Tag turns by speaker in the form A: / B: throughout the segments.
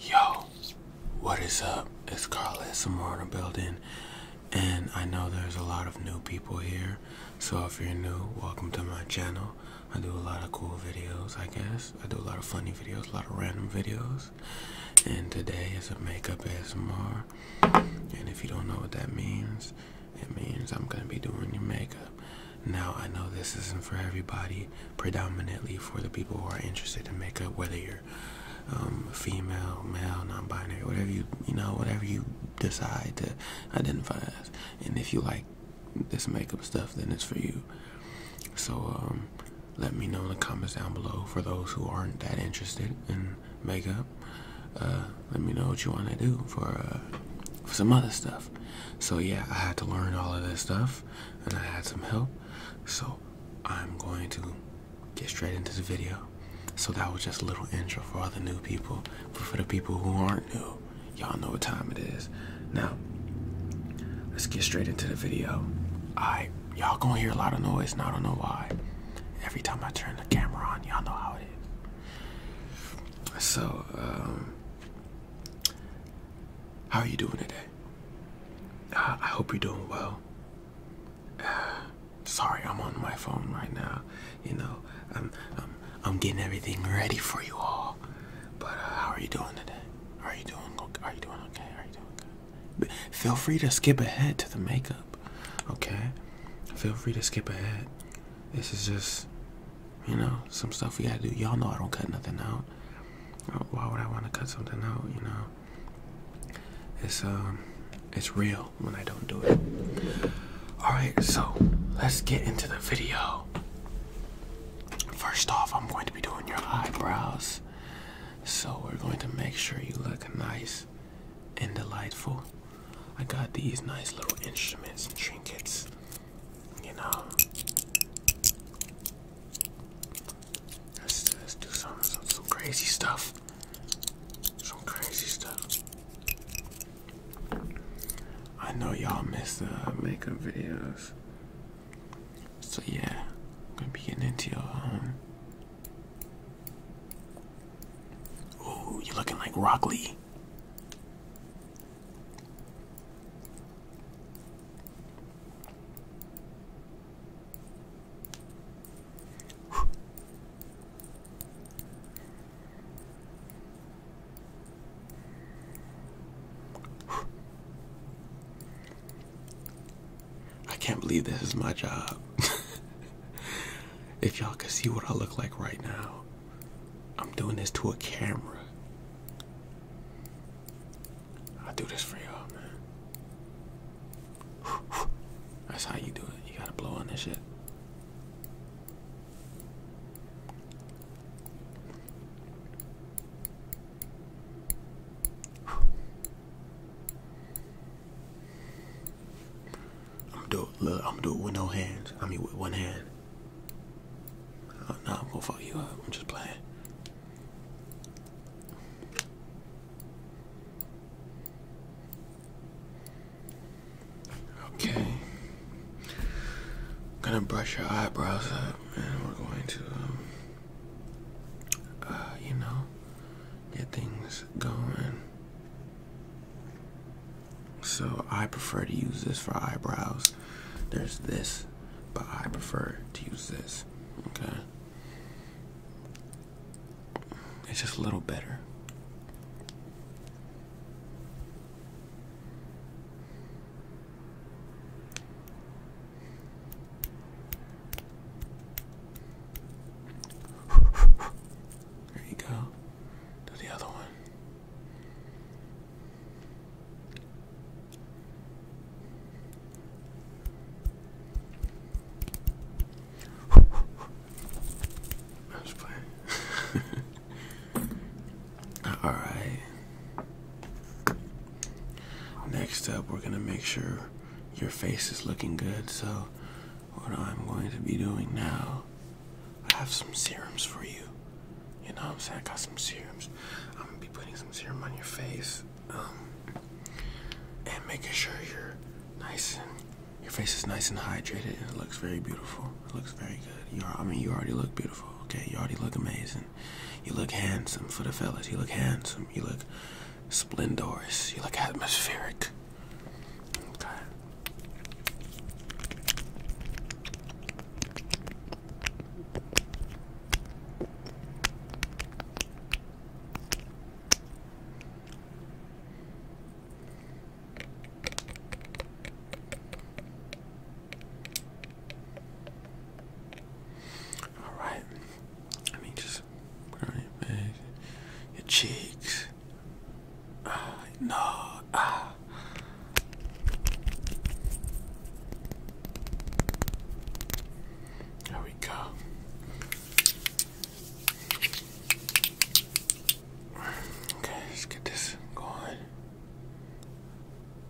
A: Yo, what is up? It's Carlos from in the building, and I know there's a lot of new people here. So if you're new, welcome to my channel. I do a lot of cool videos, I guess. I do a lot of funny videos, a lot of random videos and today is a makeup S M R. And if you don't know what that means, it means I'm gonna be doing your makeup. Now I know this isn't for everybody, predominantly for the people who are interested in makeup, whether you're um, female, male, non-binary, whatever you you know, whatever you decide to identify as. And if you like this makeup stuff, then it's for you. So um, let me know in the comments down below for those who aren't that interested in makeup. Uh, let me know what you want to do for, uh, for some other stuff. So yeah, I had to learn all of this stuff, and I had some help. So I'm going to get straight into the video. So that was just a little intro for all the new people. But for the people who aren't new, y'all know what time it is. Now, let's get straight into the video. I y'all gonna hear a lot of noise and I don't know why. Every time I turn the camera on, y'all know how it is. So, um, how are you doing today? Uh, I hope you're doing well. sorry, I'm on my phone right now. You know, I'm I'm I'm getting everything ready for you all. But uh, how are you doing today? Are you doing? Are you doing okay? Are you doing good? Feel free to skip ahead to the makeup, okay? Feel free to skip ahead. This is just, you know, some stuff we gotta do. Y'all know I don't cut nothing out. Oh, why would I want to cut something out, you know? It's, um, it's real when I don't do it. Alright, so let's get into the video. First off, I'm going to be doing your eyebrows. So we're going to make sure you look nice and delightful. I got these nice little instruments and trinkets, you know. Let's, let do some, some some crazy stuff. Some crazy stuff. I know y'all miss the makeup videos. So yeah, I'm gonna be getting into your um you're looking like Rocky. I can't believe this is my job. if y'all could see what I look like right now, I'm doing this to a camera. I do this for y'all, man. That's how you do it. You gotta blow on this shit. I'm do it, look, I'm do it with no hands. I mean, with one hand. Uh, I'm gonna fuck you up. I'm just playing. Okay. I'm gonna brush your eyebrows up, and we're going to um, uh, you know, get things going. So I prefer to use this for eyebrows. There's this, but I prefer to use this. Okay. It's just a little better. There you go. Do the other one. I'm just All right. Next up, we're gonna make sure your face is looking good. So what I'm going to be doing now, I have some serums for you. You know what I'm saying? I got some serums. I'm gonna be putting some serum on your face. Um, and making sure you're nice and your face is nice and hydrated and it looks very beautiful. It looks very good. You I mean, you already look beautiful. Okay, you already look amazing you look handsome for the fellas. You look handsome. You look splendorous. You look atmospheric. Okay. Alright. I mean, just put your face, your cheeks. Uh, no. Ah. There we go. Okay, let's get this going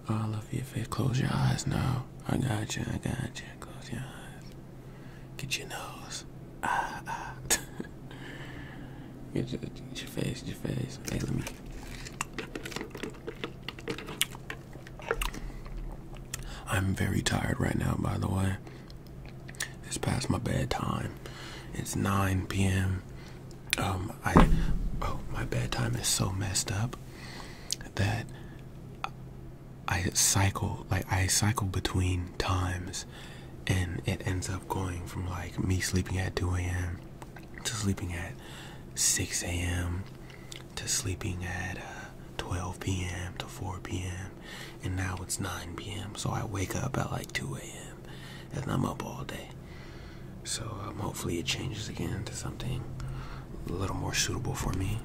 A: all over your face. Close your eyes now. I got you. I got you. Close your eyes. Get your nose. Ah, ah. get your face. Your face. Hey, let me. I'm very tired right now, by the way. It's past my bedtime. It's 9 p.m. Um, I, oh, my bedtime is so messed up that I cycle like I cycle between times and it ends up going from like me sleeping at 2 a.m. to sleeping at 6 a.m. to sleeping at uh, 12 p.m. to 4 p.m. and now it's 9 p.m. so I wake up at like 2 a.m. and I'm up all day. So um, hopefully it changes again to something a little more suitable for me.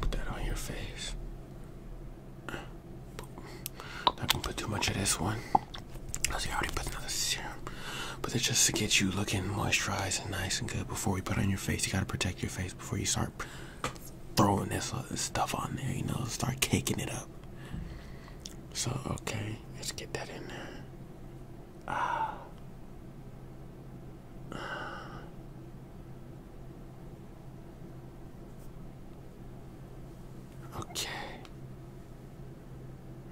A: Put that on your face. Not gonna put too much of this one. Cause I already put another serum. But it's just to get you looking moisturized and nice and good before we put on your face. You gotta protect your face before you start throwing this uh, stuff on there, you know, start caking it up. So, okay, let's get that in there. Ah. Okay.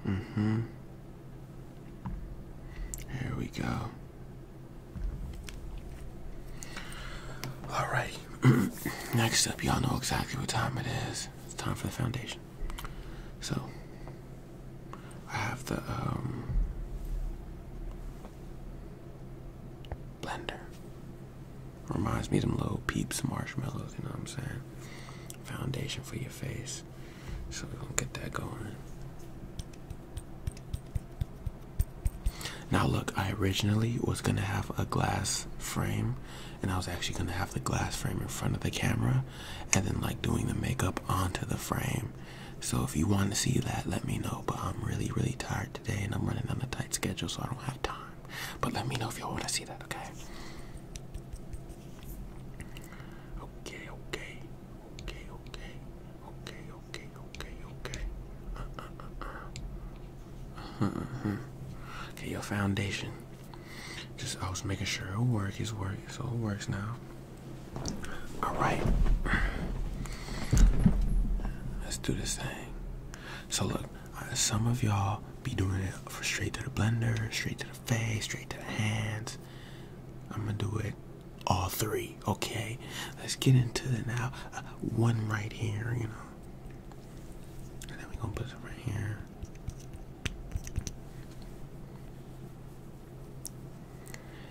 A: Mm-hmm. Here we go. Alright. Next up, y'all know exactly what time it is. It's time for the foundation. So, I have the um, blender. Reminds me of them little peeps marshmallows, you know what I'm saying? Foundation for your face. So we're gonna get that going. Now look, I originally was gonna have a glass frame and I was actually gonna have the glass frame in front of the camera and then like doing the makeup onto the frame time. So if you want to see that, let me know. But I'm really, really tired today and I'm running on a tight schedule, so I don't have time. But let me know if y'all want to see that, okay? Okay, okay, okay, okay, okay, okay, okay, okay. Uh, uh, uh, uh. Uh, uh, uh. Okay, your foundation. Just I was making sure it'll work, it's work, so it works now. All right. Let's do this thing. So look, uh, some of y'all be doing it for straight to the blender, straight to the face, straight to the hands. I'm gonna do it all three, okay? Let's get into it now. Uh, one right here, you know. And then we gonna put some right here.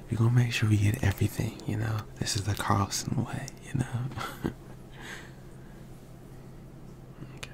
A: We're gonna make sure we get everything, you know. This is the Carlson way, you know. okay.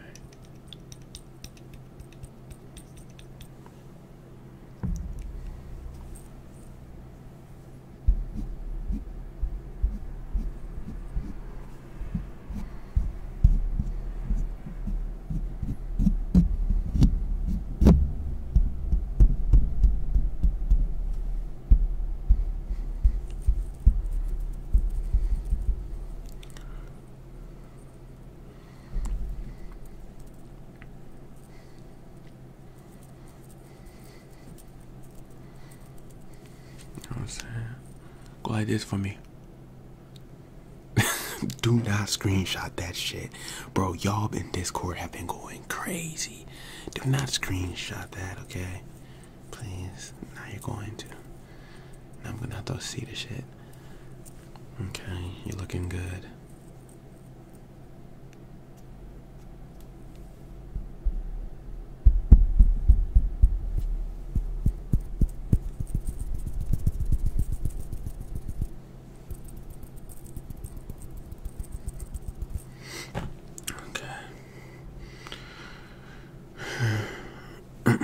A: I'm saying? Go like this for me. Do not screenshot that shit. Bro, y'all in Discord have been going crazy. Do not screenshot that, okay? Please. Now you're going to. Now I'm gonna have to see the shit. Okay, you're looking good. Okay.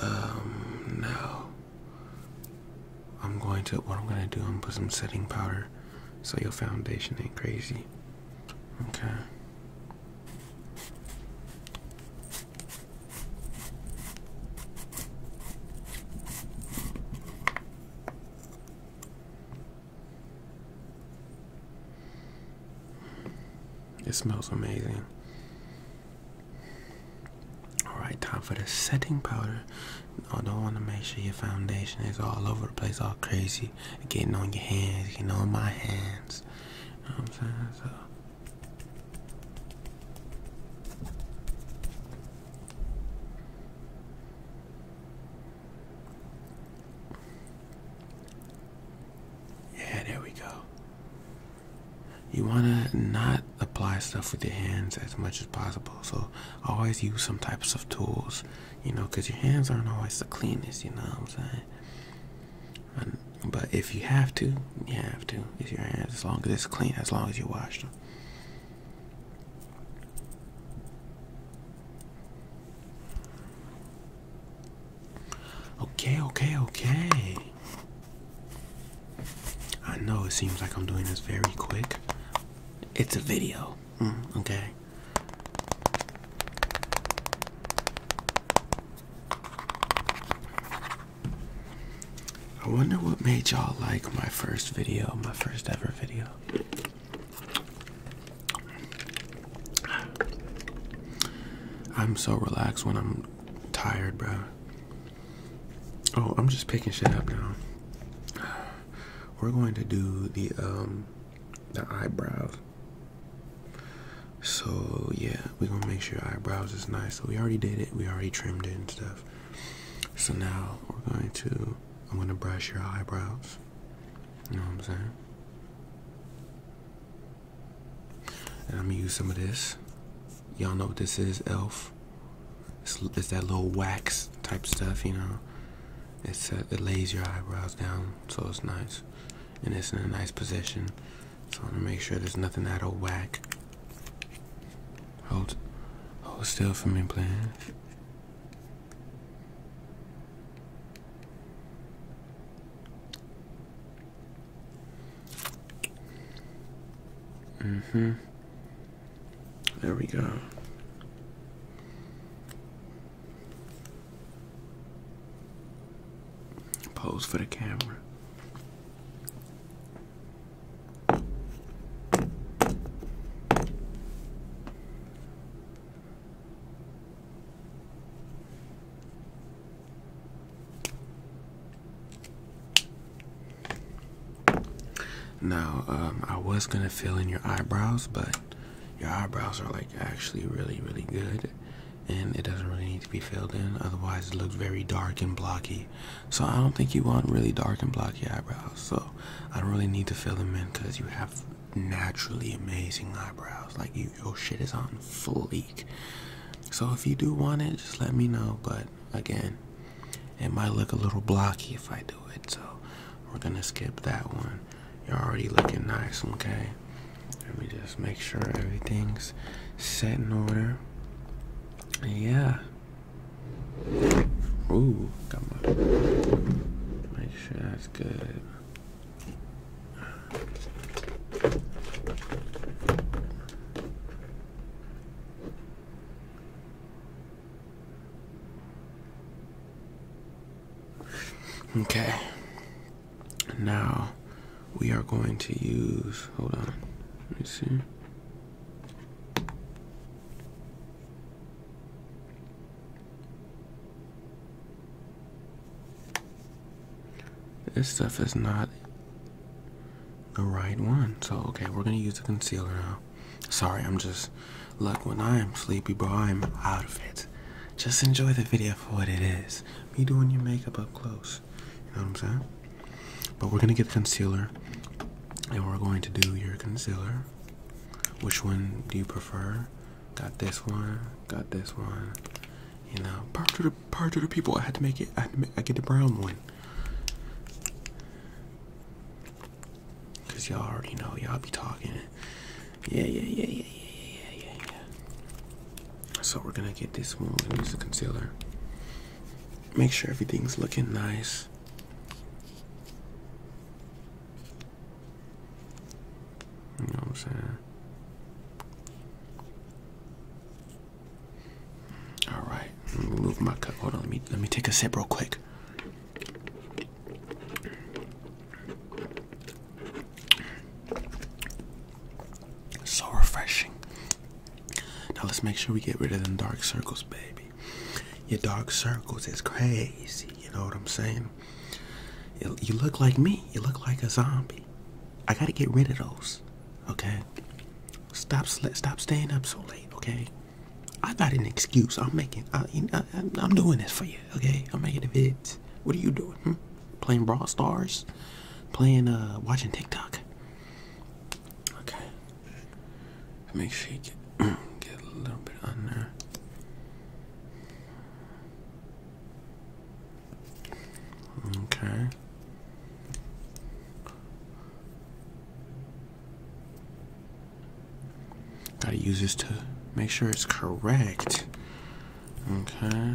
A: um, now I'm going to, what I'm going to do, I'm going to put some setting powder so your foundation ain't crazy. Okay. It smells amazing. Alright, time for the setting powder. I don't want to make sure your foundation is all over the place, all crazy. Getting on your hands, getting on my hands. I'm saying? So yeah, there we go. You want to not apply stuff with your hands as much as possible. So always use some types of tools, you know, because your hands aren't always the cleanest, you know what I'm saying? but if you have to, you have to. If your hands, as long as it's clean, as long as you wash them. Okay, okay, okay. I know it seems like I'm doing this very quick. It's a video, mm, okay? I wonder what made y'all like my first video, my first ever video. I'm so relaxed when I'm tired, bro. Oh, I'm just picking shit up now. We're going to do the um the eyebrows. So yeah, we're gonna make sure eyebrows is nice. So we already did it, we already trimmed it and stuff. So now we're going to, I'm going to brush your eyebrows. You know what I'm saying? And I'm going to use some of this. Y'all know what this is, e.l.f. It's, it's, that little wax type stuff, you know. It's, uh, it lays your eyebrows down, so it's nice. And it's in a nice position. So I want to make sure there's nothing out of whack. Hold, hold still for me, please. hmm There we go. Pose for the camera. Now, um, I was going to fill in your eyebrows, but your eyebrows are like actually really, really good. And it doesn't really need to be filled in, otherwise, it looks very dark and blocky. So I don't think you want really dark and blocky eyebrows. So I don't really need to fill them in because you have naturally amazing eyebrows. Like your shit is on fleek. So if you do want it, just let me know. But again, it might look a little blocky if I do it. So we're gonna skip that one. You're already looking nice, okay? Let me just make sure everything's set in order. Yeah. Ooh, got my. Make sure that's good. Okay. Now we are going to use hold on let me see this stuff is not the right one so okay we're gonna use the concealer now sorry i'm just look when i am sleepy bro i'm out of it just enjoy the video for what it is me doing your makeup up close else. You know what I'm saying? But we're gonna get concealer, and we're going to do your concealer. Which one do you prefer? Got this one. Got this one. You know, part of the part of the people. I had to make it. I, had to make, I get the brown one. Cause y'all already know. Y'all be talking. Yeah, yeah, yeah, yeah, yeah, yeah, yeah, yeah. So we're gonna get this one. We're gonna use the concealer. Make sure everything's looking nice. I'm saying? All right, move my cup. Hold on, let me let me take a sip real quick. So refreshing. Now let's make sure we get rid of them dark circles, baby. Your dark circles is crazy. You know what I'm saying? You, look like me. You look like a zombie. I gotta get rid of those. Okay. Stop. Stop staying up so late. Okay. I got an excuse. I'm making. I, am doing this for you. Okay. I'm making the vids. What are you doing? Hmm? Playing broad Stars? Playing. Uh, watching TikTok? Okay. Make sure you get, a little bit on there. Okay. Gotta use this to make sure it's correct. Okay.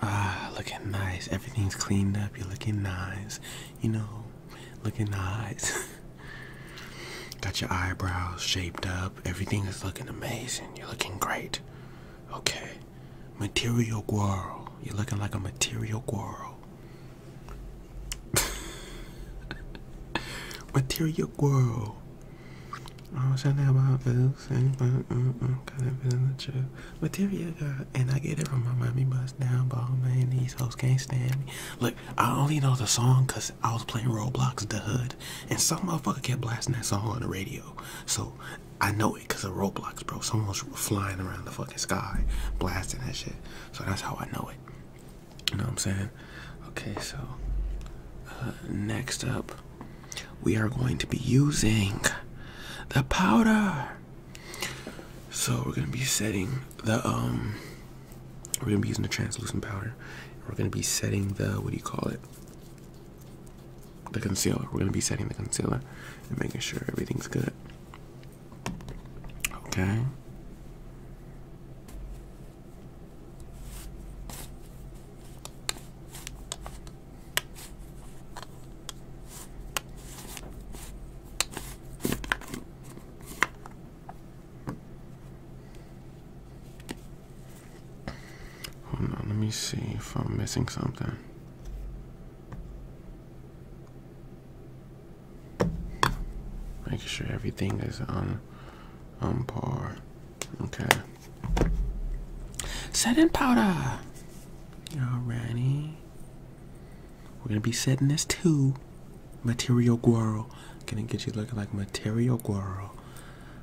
A: Ah, looking nice. Everything's cleaned up. You're looking nice. You know, looking nice. Got your eyebrows shaped up. Everything is looking amazing. You're looking great. Okay. Material girl. You're looking like a material girl. material girl. Oh, I was trying to have my bills and got mm, mm, mm, it feeling the truth. Material girl, and I get it from my mommy bust down, ball man. These hoes can't stand me. Look, I only know the song because I was playing Roblox The Hood, and some motherfucker kept blasting that song on the radio. So I know it because of Roblox, bro. Someone's flying around the fucking sky blasting that shit. So that's how I know it. You know what I'm saying? Okay, so uh, next up we are going to be using the powder. So we're gonna be setting the um we're gonna be using the translucent powder. We're gonna be setting the what do you call it? The concealer. We're gonna be setting the concealer and making sure everything's good. Okay let me see if I'm missing something. Make sure everything is on on par. Okay. Setting powder. Y'all Alrighty. We're gonna be setting this to Material Girl. Gonna get you looking like Material Girl.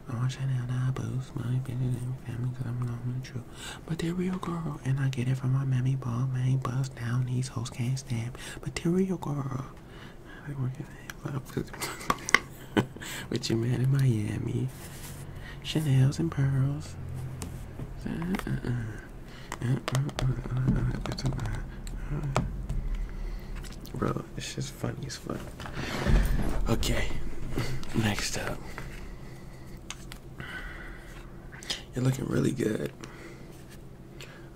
A: I want Chanel to boost my business and family because I'm but they're real girl, and I get it from my mammy ball, man. Bust down, these hoes can't stand. Material girl. with your man in Miami. Chanel's and pearls. Bro, it's just funny as fuck. Okay, next up. You're looking really good.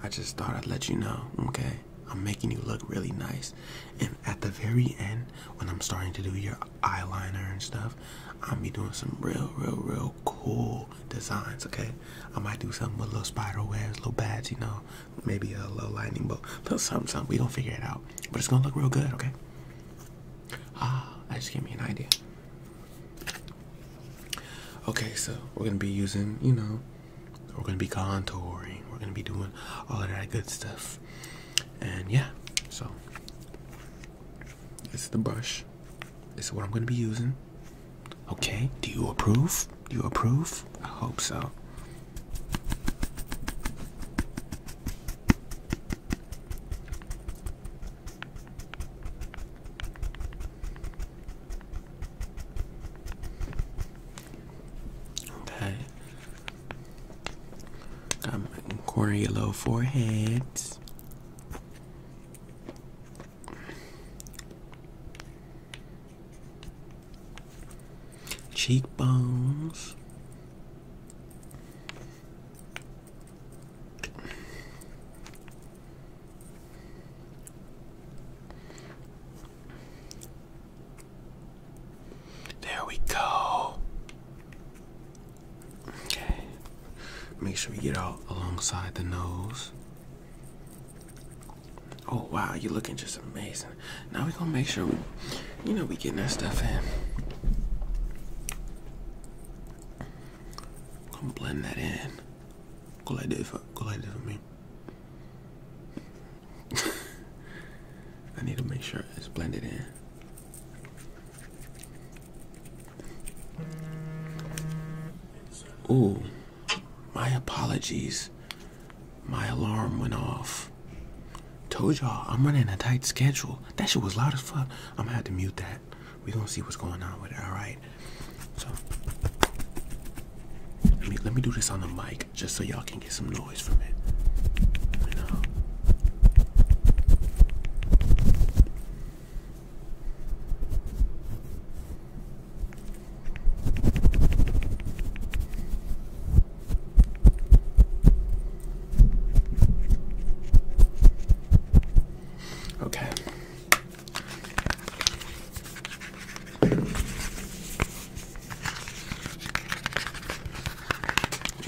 A: I just thought I'd let you know, okay? I'm making you look really nice. And at the very end, when I'm starting to do your eyeliner and stuff, I'll be doing some real, real, real cool designs, okay? I might do something with little spider webs, little bats, you know, maybe a little lightning bolt, little something, something. We don't figure it out. But it's gonna look real good, okay? Ah, that just gave me an idea. Okay, so we're gonna be using, you know, we're gonna be contouring, we're gonna be doing all of that good stuff and yeah so this is the brush This is what i'm going to be using okay do you approve do you approve i hope so Okay. Got my corner your low forehead, Cheekbones. There we go. Okay. Make sure we get all alongside the nose. Oh wow, you're looking just amazing. Now we're gonna make sure we you know we getting that stuff in. gonna blend that in. Go like this for for me. I need to make sure it's blended in. Ooh, my apologies. My alarm went off. Told y'all I'm running a tight schedule. That shit was loud as fuck. I'm gonna have to mute that. We gonna see what's going on with it. All right. So let me let me do this on the mic just so y'all can and get some noise from it. Okay.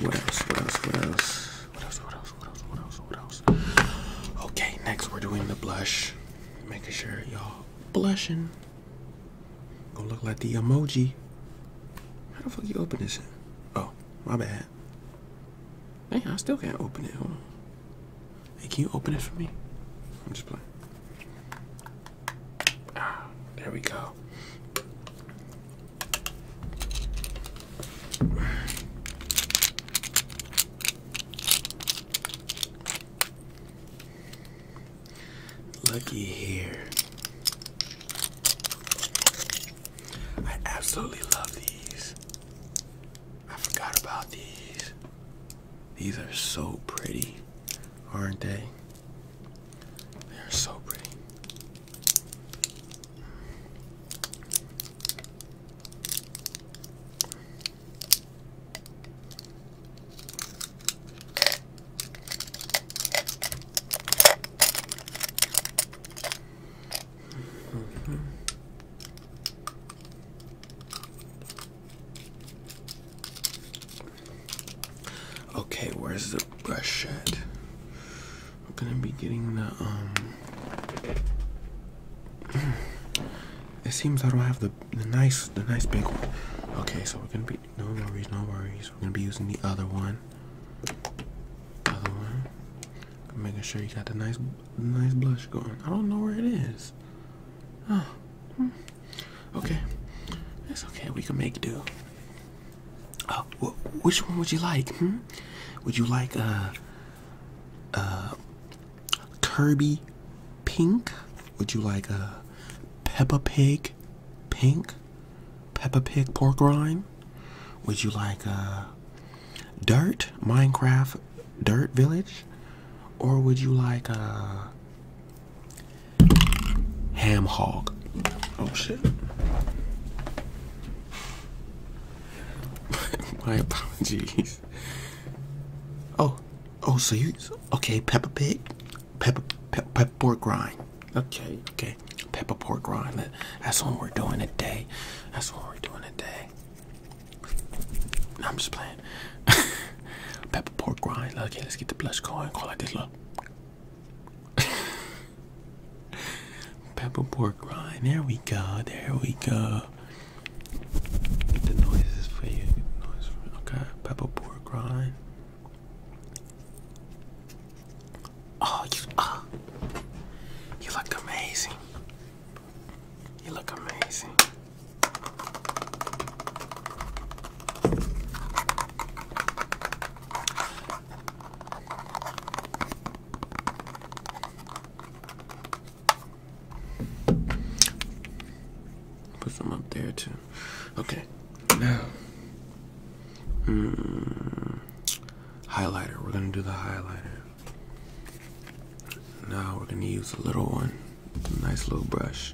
A: What else? What else? What else? What else? What else? What else? What else? What else? Okay, next we're doing the blush. Making sure y'all blushing. Gonna look like the emoji. How the fuck you open this? Oh, my bad. Man, I still can't open it. Hey, can you open it for me? I'm just playing there we go. Lucky here. I absolutely love these. I forgot about these. These are so pretty, aren't they? They are so pretty. Okay, where's the brush set? I'm gonna be getting the um. It seems I don't have the the nice the nice big one. Okay, so we're gonna be no worries, no worries. We're gonna be using the other one. Other one. Making sure you got the nice nice blush going. I don't know where it is. Oh. Okay. That's okay. We can make do. Uh, which one would you like? Hmm? Would you like a uh, uh, Kirby pink? Would you like a Peppa Pig pink? Peppa Pig pork rind? Would you like a dirt Minecraft dirt village? Or would you like a Ham hog. Oh shit. My apologies. Oh, oh, so you okay? Pepper pig, pepper, pe pork rind. Okay, okay, pepper pork rind. that's what we're doing today. That's what we're doing today. I'm just playing. pepper pork rind. Okay, let's get the blush going. Call like this. Look, Pepper pork rind. There we go. There we go. the noises for you. okay. Pepper pork rind. Oh, you. Oh. You look amazing. You look amazing. Put some up there too. Okay, now mm, highlighter. We're gonna do the highlighter. Now we're gonna use a little one, nice little brush.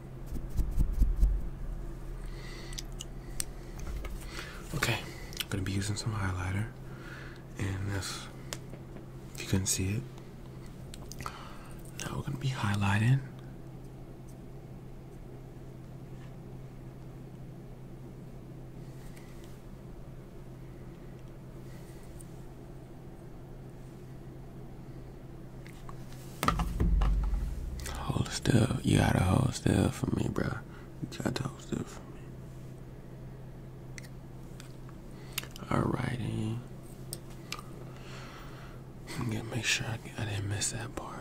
A: Okay, I'm gonna be using some highlighter, and if, you couldn't see it, now we're gonna be highlighting. Hold still. You gotta hold still for me, bro. You gotta hold still for me. All righty. am gonna make sure I, I didn't miss that part.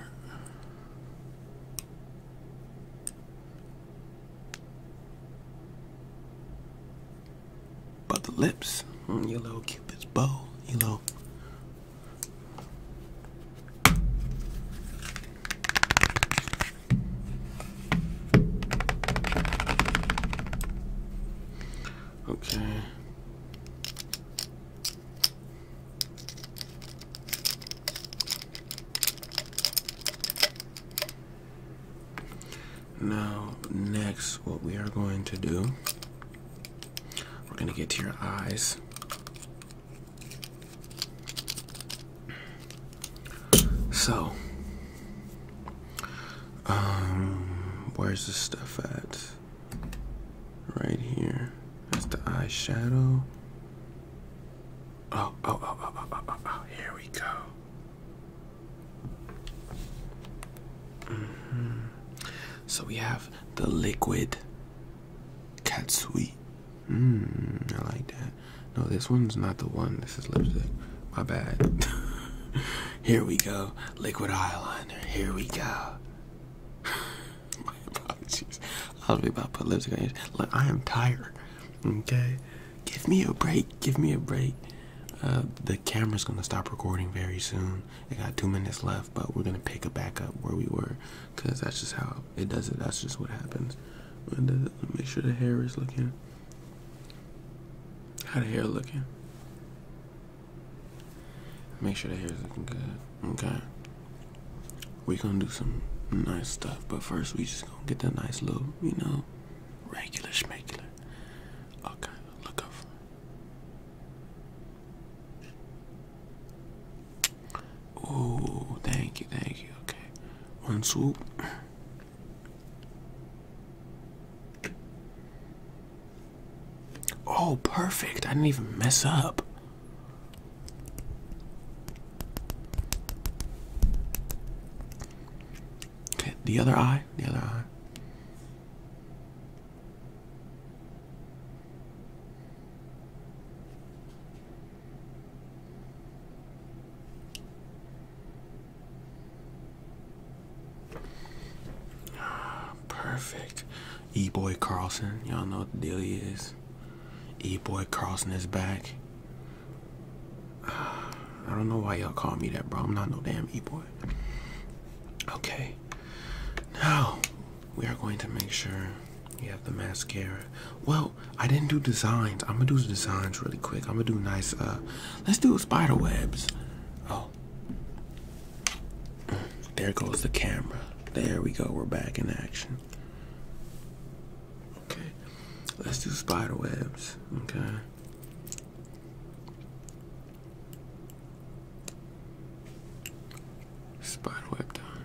A: But the lips, mm, your little cupid's bow, your little Okay. Now, next, what we are going to do we're going to get to your eyes. So, um, where's this stuff at? Right here. That's the eyeshadow. Oh, oh, oh, oh, oh, oh, oh, oh here we go. Mm-hmm. So we have the liquid Katsui. Mmm, I like that. No, this one's not the one. This is lipstick. My bad. Here we go. Liquid eyeliner. Here we go. My apologies. I was about to put lipstick on your Look, I am tired. Okay? Give me a break. Give me a break. Uh, the camera's gonna stop recording very soon. It got two minutes left, but we're gonna pick it back up where we were, cause that's just how it does it. That's just what happens. make sure the hair is looking. How the hair looking? Make sure the hair is looking good. Okay. We're gonna do some nice stuff, but first we just gonna get that nice little, you know, regular schmegular. Okay, look over. Oh, thank you, thank you. Okay, one swoop. Oh, perfect. I didn't even mess up. the other eye, the other eye. Ah, perfect. E Boy Carlson. Y'all know what the deal he is. E Boy Carlson is back. I don't know why y'all call me that, bro. I'm not no damn E Boy. Okay. Now, we are going to make sure you have the mascara. Well, I didn't do designs. I'm gonna do designs really quick. I'm gonna do nice. Uh, let's do spider webs. Oh, there goes the camera. There we go. We're back in action. Okay, let's do spider webs. Okay. Spiderweb down.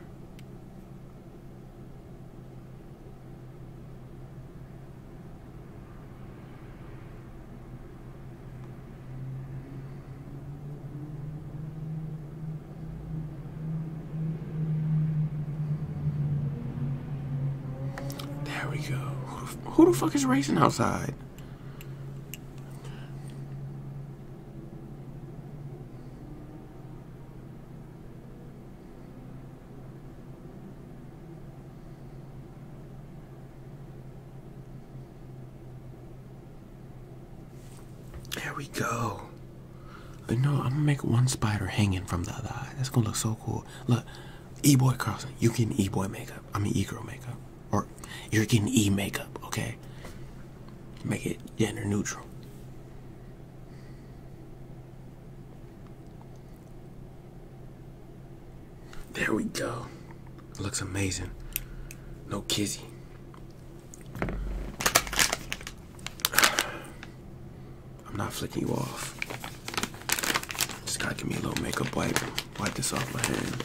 A: There we go. who the fuck is racing outside? There we go. You know, I'm gonna make one spider hanging from the other eye. That's gonna look so cool. Look, E-boy crossing. you can E-boy makeup. I mean, E-girl makeup or you're getting E makeup, okay? Make it gender neutral. There we go. Looks amazing. No kizzy. I'm not flicking you off. Just gotta give me a little makeup wipe. Wipe this off my hand.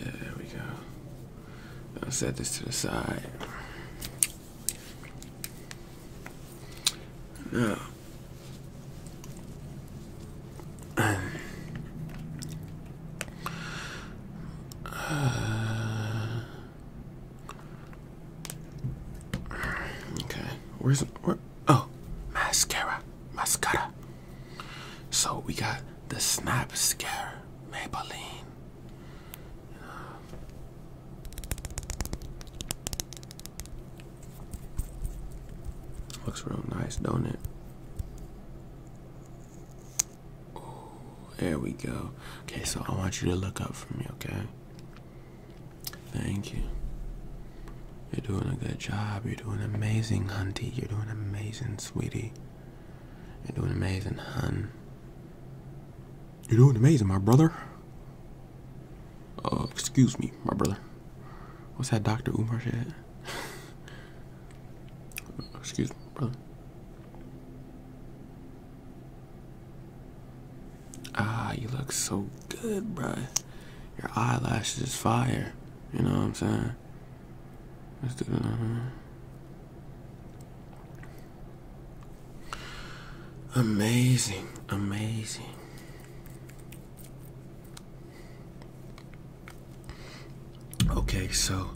A: there we go. I'll set this to the side. Now, Uh, Okay, where's where? Oh, mascara, mascara. So we got the Snap Scare Maybelline. Looks real nice, don't it? there we go. Okay, so I want you to look up for me, okay? Thank you. You're doing a good job. You're doing amazing, hunty. You're doing amazing, sweetie. You're doing amazing, hun. You're doing amazing, my brother. Uh, excuse me, my brother. What's that Dr. Umar said? excuse me, brother. Ah, you look so good, bruh. Your eyelashes is fire. You know what I'm saying? Let's do that. Amazing, amazing. Okay, so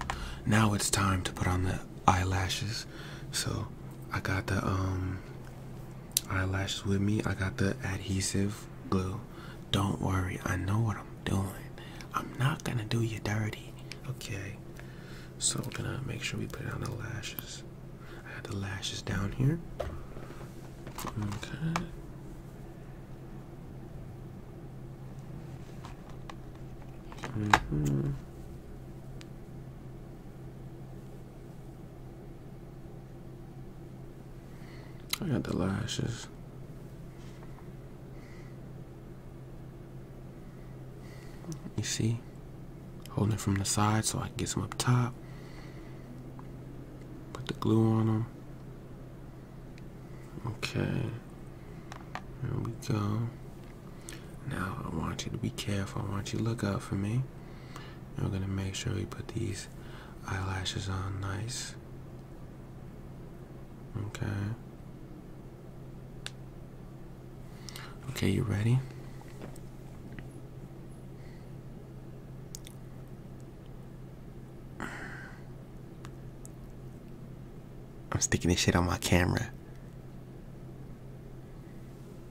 A: now it's time to put on the eyelashes. So I got the um eyelashes with me. I got the adhesive glue. Don't worry, I know what I'm doing. I'm not gonna do you dirty. Okay. So we're gonna make sure we put on the lashes. I got the lashes down here. Okay. Mm-hmm. I got the lashes. You see? Holding from the side so I can get some up top. Put the glue on them. Okay. There we go. Now I want you to be careful. I want you to look out for me. And we're gonna make sure we put these eyelashes on nice. Okay. Okay, you ready? I'm sticking this shit on my camera.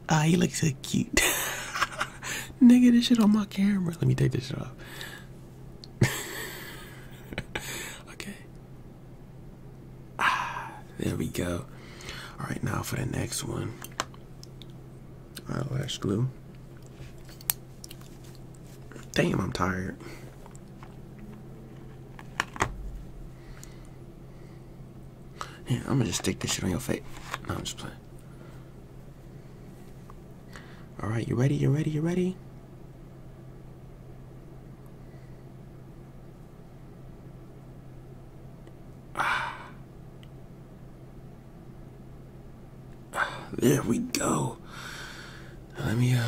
A: Ah, he looks so cute. Nigga, this shit on my camera. Let me take this shit off. okay. Ah, there we go. All right, now for the next one. Eyelash glue. Damn, I'm tired. Yeah, I'm gonna just stick this shit on your face. No, I'm just playing. Alright, you ready? You ready? You ready? Ah. ah. There we go. Let me uh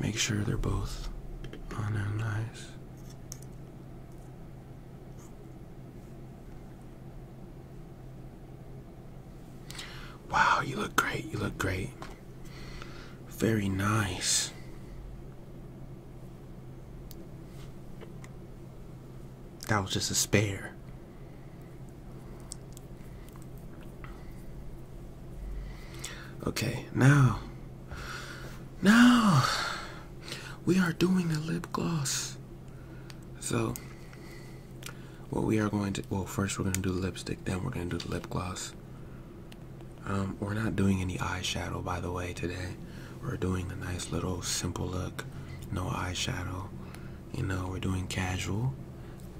A: make sure they're both on there nice. Wow, you look great. You look great. Very nice. That was just a spare. Okay, now now, we are doing the lip gloss. So, what we are going to, well, first we're going to do the lipstick, then we're going to do the lip gloss. Um, we're not doing any eyeshadow, by the way, today. We're doing the nice little simple look, no eyeshadow. You know, we're doing casual.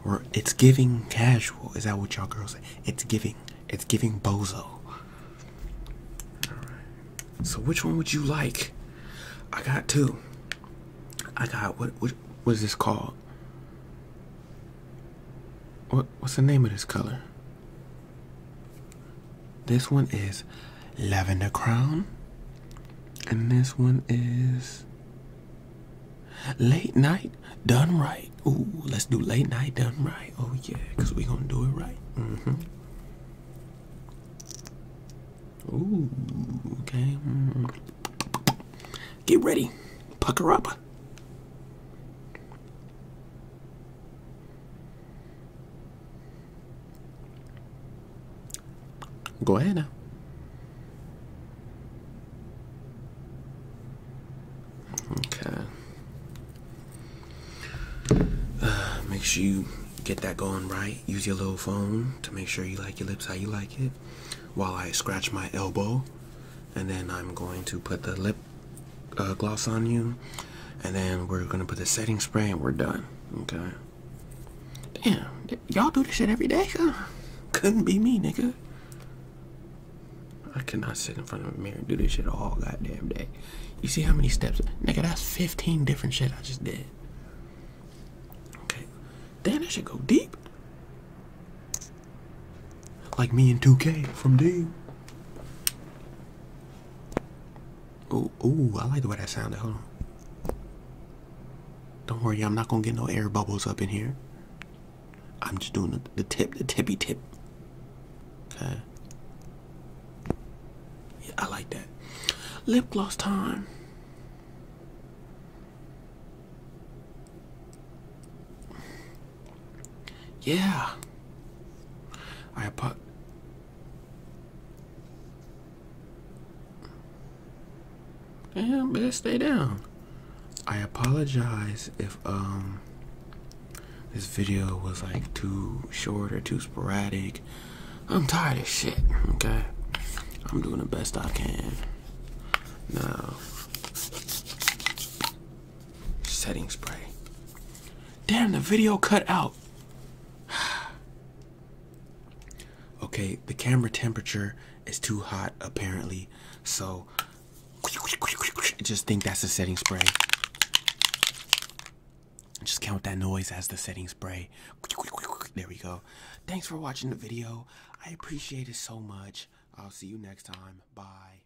A: We're, it's giving casual. Is that what y'all girls It's giving it's giving bozo. So which one would you like? I got two. I got what? was this called? What? What's the name of this color? This one is lavender crown, and this one is late night done right. Ooh, let's do late night done right. Oh yeah, cause we gonna do it right. Mm-hmm. Ooh, okay. Mm-hmm. Get ready. Pucker up. Go ahead now. Okay. Uh, make sure you get that going right. Use your little phone to make sure you like your lips how you like it. While I scratch my elbow, and then I'm going to put the lip uh, gloss on you, and then we're gonna put the setting spray, and we're done. Okay. Damn, y'all do this shit every day, huh? Couldn't be me, nigga. I cannot sit in front of a mirror and do this shit all goddamn day. You see how many steps? Nigga, that's 15 different shit I just did. Okay. Damn, that should go deep. Like me and 2K from D. Ooh, oh, I like the way that sounded. Hold on. Don't worry, I'm not gonna get no air bubbles up in here. I'm just doing the, tip, the tippy tip. Okay. Yeah, I like that. Lip gloss time. Yeah. I put. Damn, best stay down. I apologize if um, this video was like too short or too sporadic. I'm tired of shit, okay? I'm doing the best I can. Now, setting spray. Damn, the video cut out. okay, the camera temperature is too hot apparently. So just think that's the setting spray. Just count that noise as the setting spray. There we go. Thanks for watching the video. I appreciate it so much. I'll see you next time. Bye.